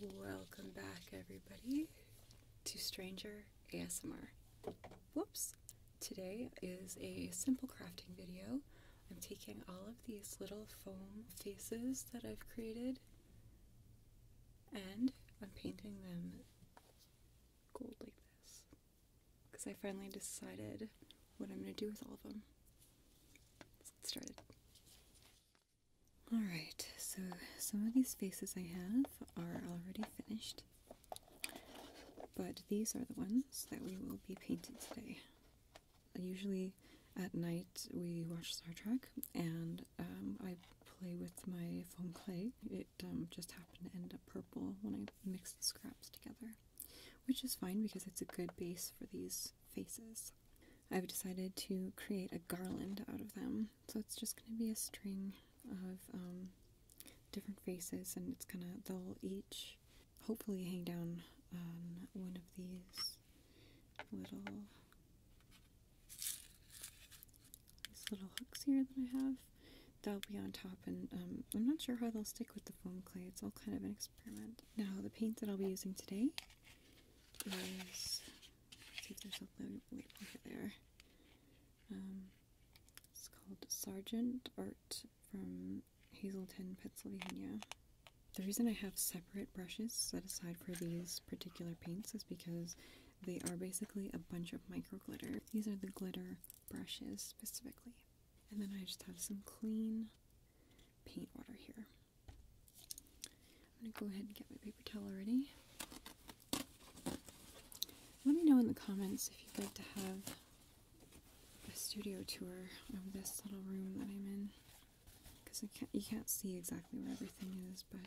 Welcome back, everybody, to Stranger ASMR. Whoops! Today is a simple crafting video. I'm taking all of these little foam faces that I've created and I'm painting them gold like this because I finally decided what I'm going to do with all of them. Let's get started. Alright, so some of these faces I have are already finished, but these are the ones that we will be painting today. Usually at night we watch Star Trek and um, I play with my foam clay. It um, just happened to end up purple when I mixed the scraps together which is fine because it's a good base for these faces. I've decided to create a garland out of them, so it's just going to be a string of um, different faces, and it's gonna they'll each hopefully hang down on one of these little little hooks here that I have. They'll be on top, and um, I'm not sure how they'll stick with the foam clay. It's all kind of an experiment. Now the paint that I'll be using today is let's see if there's a over there. Um, it's called Sergeant Art from Hazleton, Pennsylvania. The reason I have separate brushes set aside for these particular paints is because they are basically a bunch of micro glitter. These are the glitter brushes specifically. And then I just have some clean paint water here. I'm going to go ahead and get my paper towel ready. Let me know in the comments if you'd like to have a studio tour of this little room that I'm in. Because you can't see exactly where everything is, but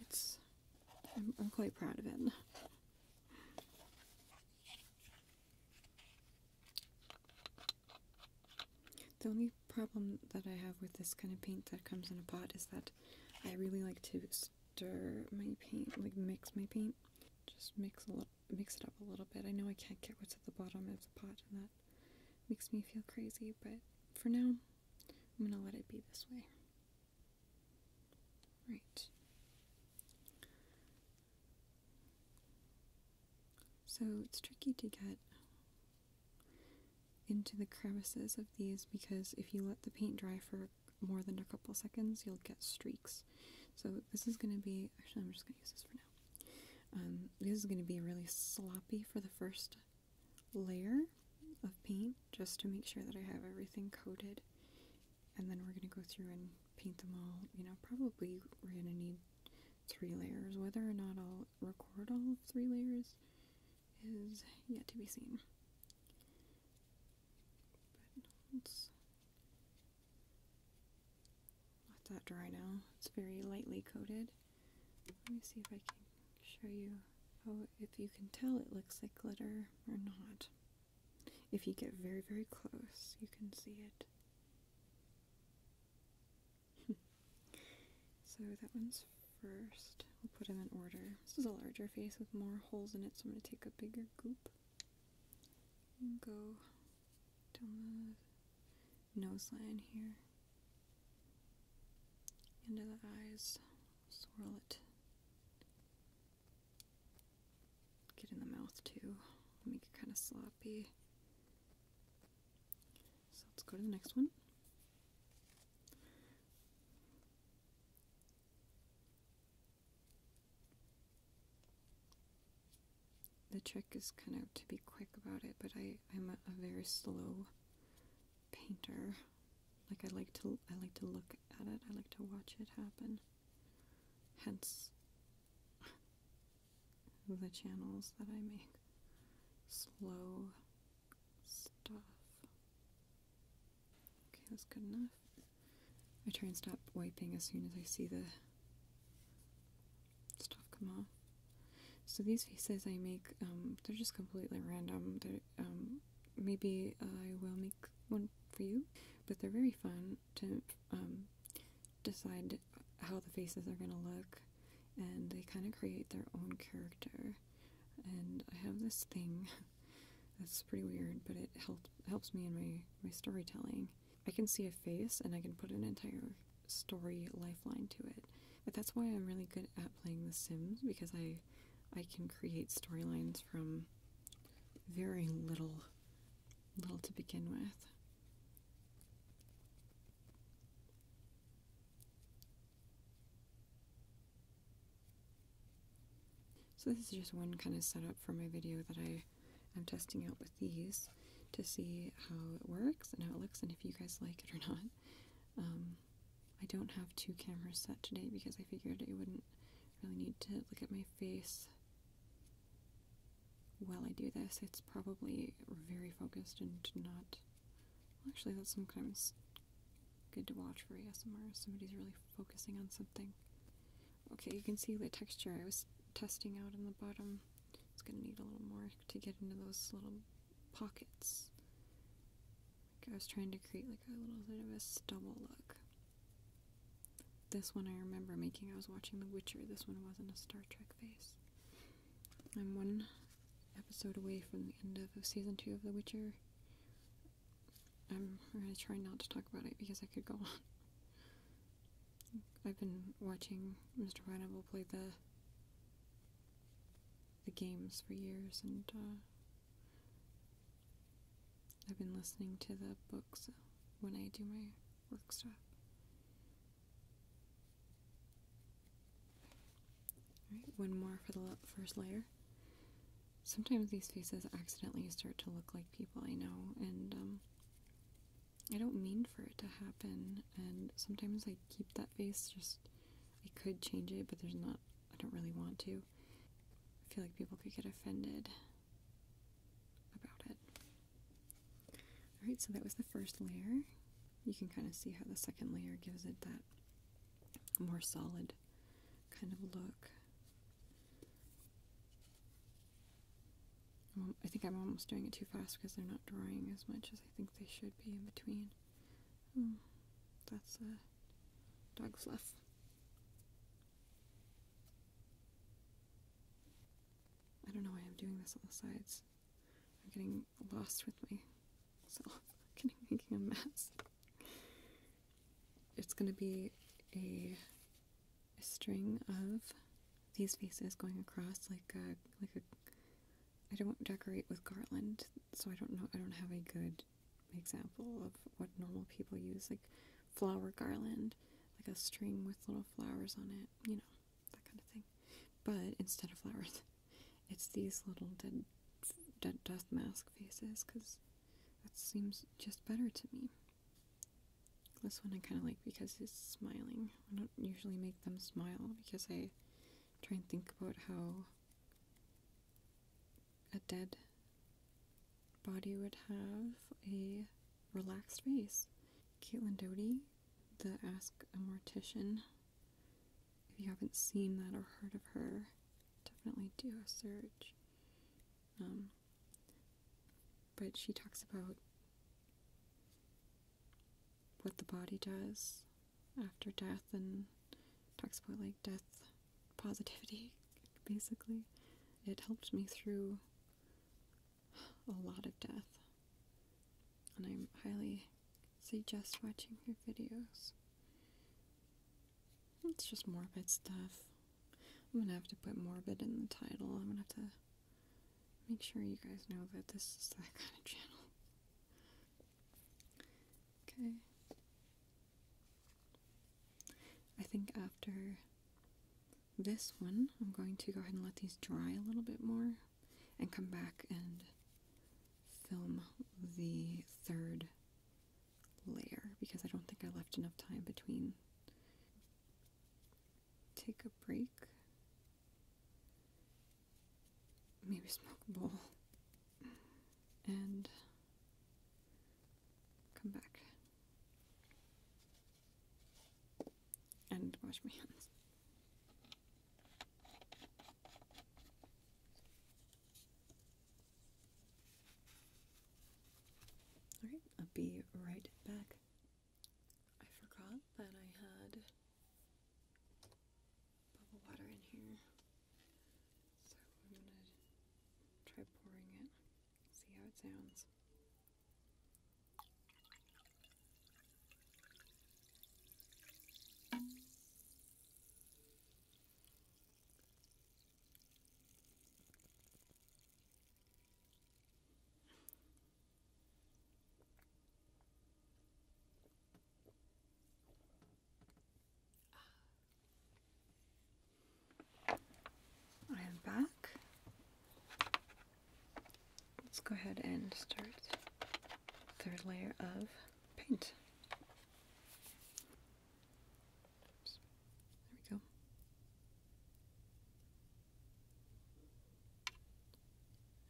it's I'm quite proud of it. The only problem that I have with this kind of paint that comes in a pot is that I really like to stir my paint, like mix my paint. Just mix a little, mix it up a little bit. I know I can't get what's at the bottom of the pot, and that makes me feel crazy. But for now, I'm gonna let it be this way. Right. So it's tricky to get into the crevices of these because if you let the paint dry for more than a couple seconds, you'll get streaks. So this is going to be, actually I'm just going to use this for now. Um, this is going to be really sloppy for the first layer of paint just to make sure that I have everything coated and then we're going to go through and paint them all. You know, probably we're going to need three layers. Whether or not I'll record all three layers is yet to be seen. But let's that dry now. It's very lightly coated. Let me see if I can show you. Oh, if you can tell it looks like glitter or not. If you get very, very close, you can see it. so that one's first. We'll put them in order. This is a larger face with more holes in it, so I'm going to take a bigger goop and go down the nose line here into the eyes, swirl it Get in the mouth too. Let me kind of sloppy. So let's go to the next one. The trick is kind of to be quick about it, but I, I'm a, a very slow painter. Like I like to I like to look at it. I like to watch it happen. Hence the channels that I make. Slow stuff. Okay, that's good enough. I try and stop wiping as soon as I see the stuff come off. So these faces I make, um, they're just completely random. Um, maybe I will make one for you, but they're very fun to um, decide how the faces are going to look, and they kind of create their own character. And I have this thing that's pretty weird, but it helps helps me in my my storytelling. I can see a face, and I can put an entire story lifeline to it. But that's why I'm really good at playing The Sims because I I can create storylines from very little little to begin with. So this is just one kind of setup for my video that I am testing out with these to see how it works and how it looks and if you guys like it or not. Um, I don't have two cameras set today because I figured it wouldn't really need to look at my face while I do this, it's probably very focused and not. actually, that's sometimes good to watch for ASMR. Somebody's really focusing on something. Okay, you can see the texture I was testing out on the bottom. It's going to need a little more to get into those little pockets. Like I was trying to create like a little bit of a stubble look. This one I remember making. I was watching The Witcher. This one wasn't a Star Trek face. I'm one episode away from the end of season two of The Witcher. I'm going to try not to talk about it because I could go on. I've been watching Mr. Pineapple play the the games for years, and uh, I've been listening to the book books when I do my work stuff. Alright, one more for the first layer. Sometimes these faces accidentally start to look like people I know, and um, I don't mean for it to happen. And sometimes I keep that face, just I could change it, but there's not, I don't really want to. I feel like people could get offended about it. Alright, so that was the first layer. You can kind of see how the second layer gives it that more solid kind of look. I think I'm almost doing it too fast because they're not drying as much as I think they should be in between. Hmm, that's a uh, dog fluff. I don't know why I'm doing this on the sides. I'm getting lost with so I'm making a mess. It's going to be a, a string of these faces going across like a like a. I don't decorate with garland, so I don't know. I don't have a good example of what normal people use, like flower garland, like a string with little flowers on it, you know, that kind of thing. But instead of flowers, it's these little dead, death mask faces because that seems just better to me. This one I kind of like because it's smiling. I don't usually make them smile because I try and think about how a dead body would have a relaxed face. Caitlin Doty, the Ask a Mortician. If you haven't seen that or heard of her, definitely do a search. Um, but she talks about what the body does after death and talks about like death positivity, basically. It helped me through a lot of death. And I highly suggest watching her videos. It's just morbid stuff. I'm gonna have to put morbid in the title. I'm gonna have to make sure you guys know that this is that kind of channel. Okay. I think after this one, I'm going to go ahead and let these dry a little bit more and come back and film the third layer because I don't think I left enough time between. Take a break. Maybe smoke a bowl. And come back and wash my hands. Alright, I'll be right back. I forgot that I had bubble water in here. So I'm going to try pouring it, see how it sounds. I am back. Let's go ahead and start third layer of paint. There we go.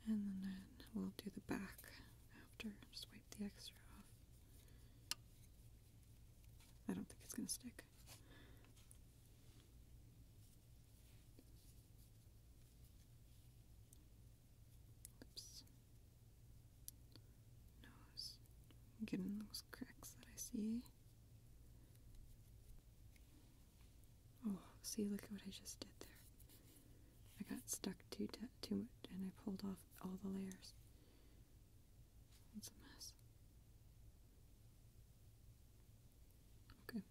And then we'll do the back after. Just wipe the extra off. I don't think it's going to stick. Lips. Nose. I'm those cracks that I see. Oh, see, look at what I just did there. I got stuck too, too much and I pulled off all the layers. It's a mess. Okay.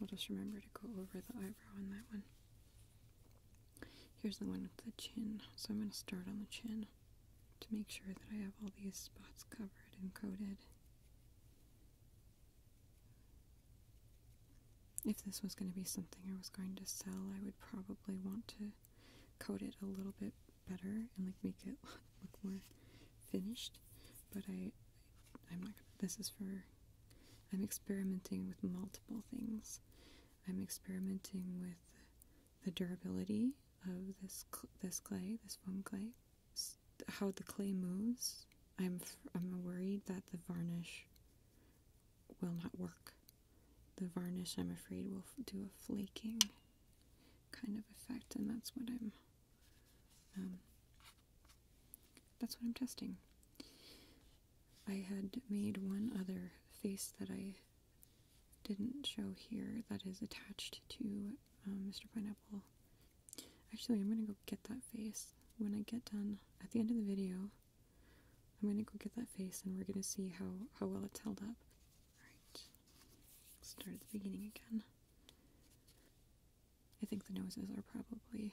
I'll just remember to go over the eyebrow on that one. Here's the one with the chin. So I'm going to start on the chin to make sure that I have all these spots covered and coated if this was going to be something I was going to sell, I would probably want to coat it a little bit better and like make it look, more finished. But I, I'm not. this is for. I'm experimenting with multiple things. I'm experimenting with the durability of this this clay, this foam clay, how the clay moves. I'm I'm worried that the varnish will not work. The varnish, I'm afraid, will do a flaking kind of effect, and that's what I'm. Um, that's what I'm testing. I had made one other face that I didn't show here that is attached to Mr. Um, Pineapple. Actually, I'm gonna go get that face when I get done. At the end of the video, I'm gonna go get that face and we're gonna see how, how well it's held up. Alright, start at the beginning again. I think the noses are probably,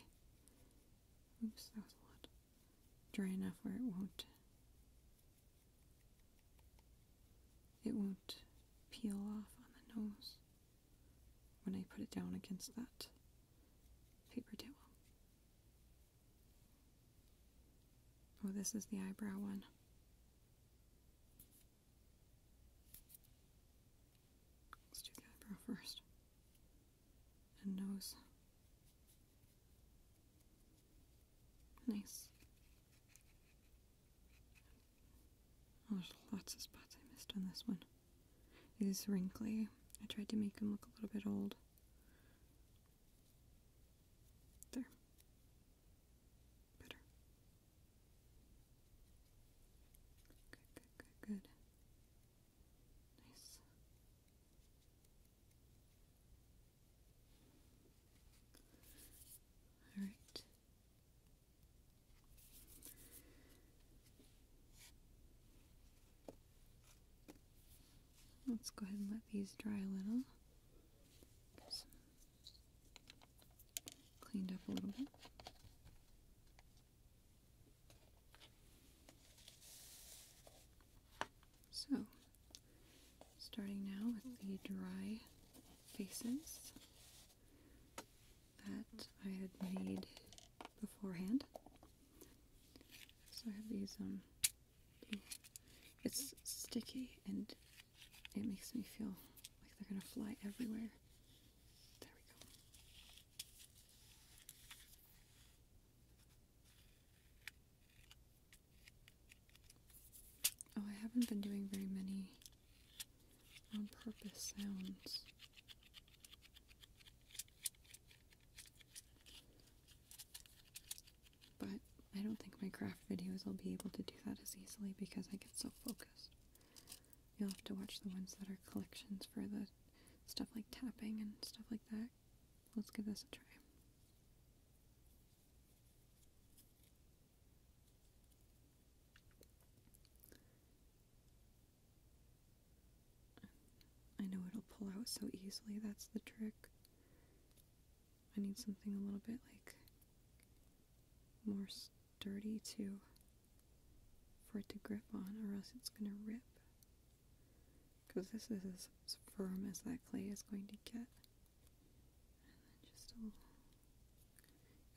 dry enough where it won't, it won't peel off on the nose when I put it down against that paper towel. Oh, this is the eyebrow one. Let's do the eyebrow first. And nose. Nice. Oh, there's lots of spots I missed on this one. He's wrinkly. I tried to make him look a little bit old. There. Better. good, good, good. Nice. Alright. Let's go ahead and let these dry a little. Cleaned up a little bit. So, starting now with the dry faces that I had made beforehand. So I have these, um, it's sticky and it makes me feel like they're gonna fly everywhere. There we go. Oh, I haven't been doing very many on purpose sounds. But I don't think my craft videos will be able to do that as easily because I get so focused. You'll have to watch the ones that are collections for the stuff like tapping and stuff like that. Let's give this a try. I know it'll pull out so easily, that's the trick. I need something a little bit like more sturdy to for it to grip on or else it's gonna rip. Cause this is as, firm as that clay is going to get. And just a little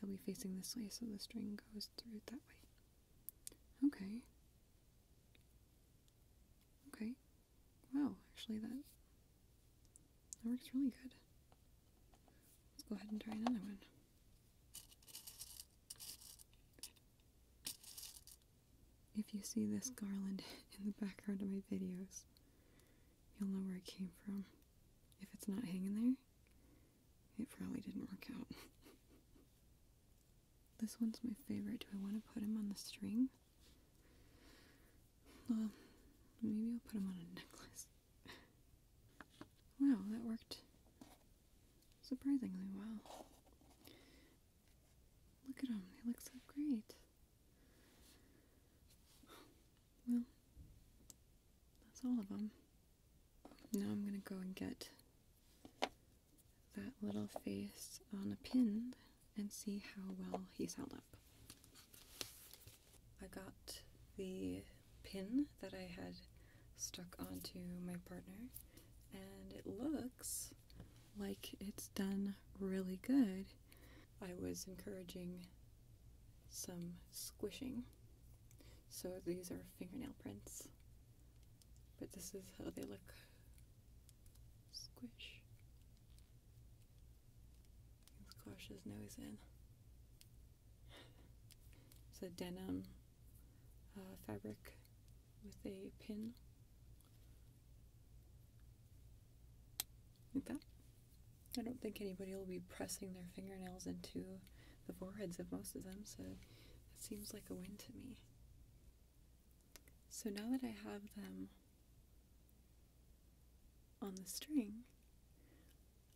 I'll be facing this way so the string goes through it that way. Okay. Okay. Wow, actually that that works really good. Let's go ahead and try another one. If you see this garland in the background of my videos, you'll know where it came from. If it's not hanging there, it probably didn't work out. this one's my favorite. Do I want to put him on the string? Well, maybe I'll put him on a necklace. wow, that worked surprisingly well. Look at them, they look so great. Well, that's all of them. Now I'm going to go and get that little face on a pin and see how well he's held up. I got the pin that I had stuck onto my partner and it looks like it's done really good. I was encouraging some squishing so these are fingernail prints, but this is how they look. Squish. Squash his nose in. It's a denim uh, fabric with a pin. Like that. I don't think anybody will be pressing their fingernails into the foreheads of most of them, so that seems like a win to me. So now that I have them on the string,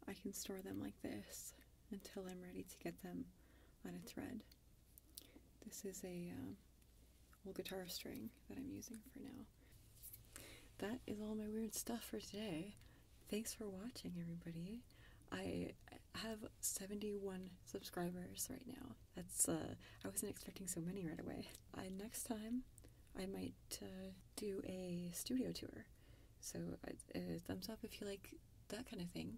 I can store them like this until I'm ready to get them on a thread. This is a um, old guitar string that I'm using for now. That is all my weird stuff for today thanks for watching, everybody. I have 71 subscribers right now. That's uh, I wasn't expecting so many right away. I, uh, next time, I might uh, do a studio tour. So, uh, uh, thumbs up if you like that kind of thing.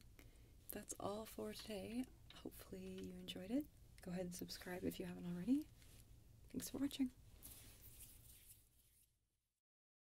That's all for today. Hopefully, you enjoyed it. Go ahead and subscribe if you haven't already. Thanks for watching.